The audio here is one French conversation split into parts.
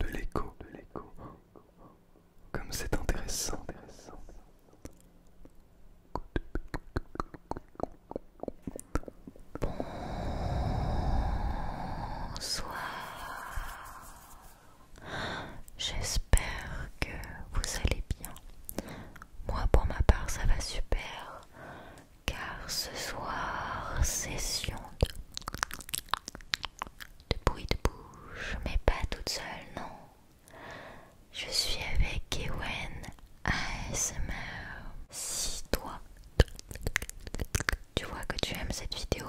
De l'écho, de l'écho. Comme c'est intéressant, intéressant. Bonsoir. J'espère que vous allez bien. Moi pour ma part ça va super car ce soir session de, bruit de bouche mais pas toute seule non. Je suis avec Ewen ASMR. Si toi tu vois que tu aimes cette vidéo,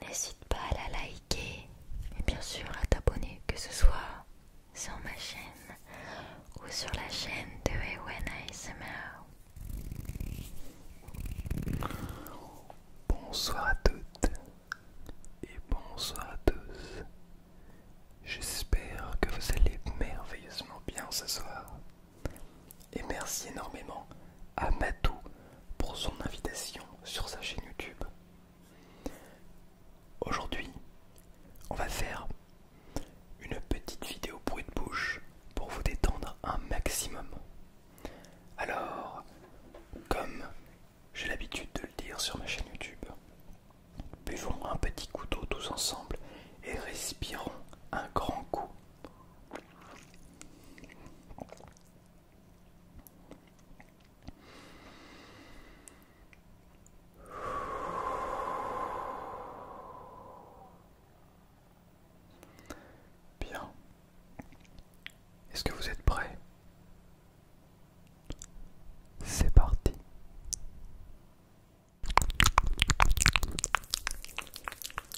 n'hésite pas à la liker et bien sûr à t'abonner, que ce soit sur ma chaîne ou sur la chaîne de Ewen ASMR. Bonsoir à toutes et bonsoir à tous. J'espère que vous allez merveilleusement bien ce soir. Et merci énormément à Matou pour son invitation sur sa chaîne YouTube. Aujourd'hui, on va faire une petite vidéo bruit de bouche pour vous détendre un maximum. Alors, comme j'ai l'habitude de le dire sur ma chaîne YouTube, buvons un petit couteau tous ensemble et respirons un grand coup Bien. Est-ce que vous êtes prêts C'est parti.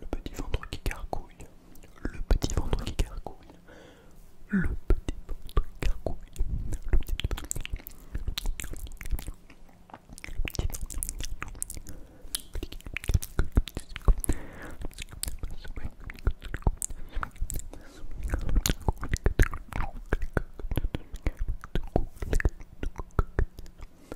le petit ventre qui gargouille, le petit ventre qui gargouille, le petit ventre qui gargouille, le petit ventre qui Petit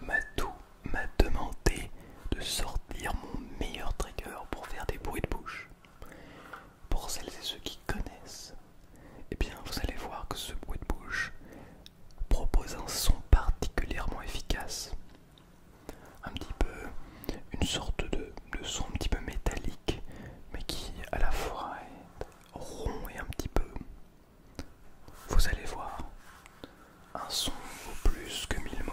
Matou m'a demandé de sortir mon meilleur trigger pour faire des bruits de bouche. Pour celles et ceux qui connaissent, eh bien vous allez voir que ce bruit de bouche propose un son particulièrement efficace un petit peu une sorte de, son un petit peu métallique mais qui à la fois est rond et un petit peu vous allez voir un son au plus que mille mots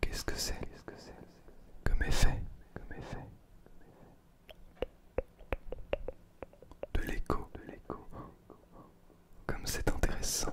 Qu'est-ce que c'est Comme effet De l'écho. Comme c'est intéressant.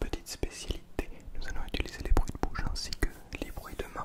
Petite spécialité, nous allons utiliser les bruits de bouche ainsi que les bruits de main.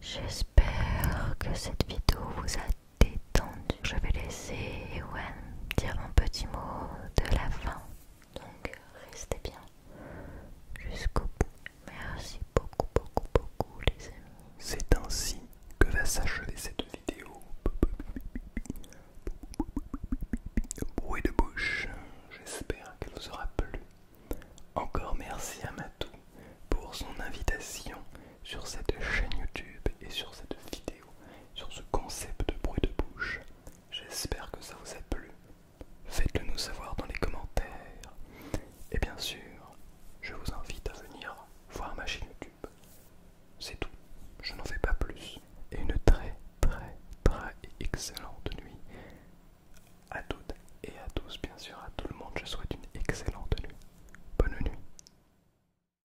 J'espère que cette vidéo vous a détendu. Je vais laisser Ewan dire un petit mot de la fin. Donc restez bien jusqu'au bout. Merci beaucoup, beaucoup, beaucoup les amis. C'est ainsi que va s'achever cette vidéo. Bruit de bouche, j'espère qu'elle vous aura plu. Encore merci à Matou pour son invitation sur cette chaîne YouTube et sur cette vidéo sur ce concept de bruit de bouche. J'espère que ça vous a plu. Faites-le nous savoir dans les commentaires. Et bien sûr, je vous invite à venir voir ma chaîne YouTube. C'est tout, je n'en fais pas plus. Et une très très très excellente nuit. À toutes et à tous, bien sûr, à tout le monde, je souhaite une excellente nuit. Bonne nuit.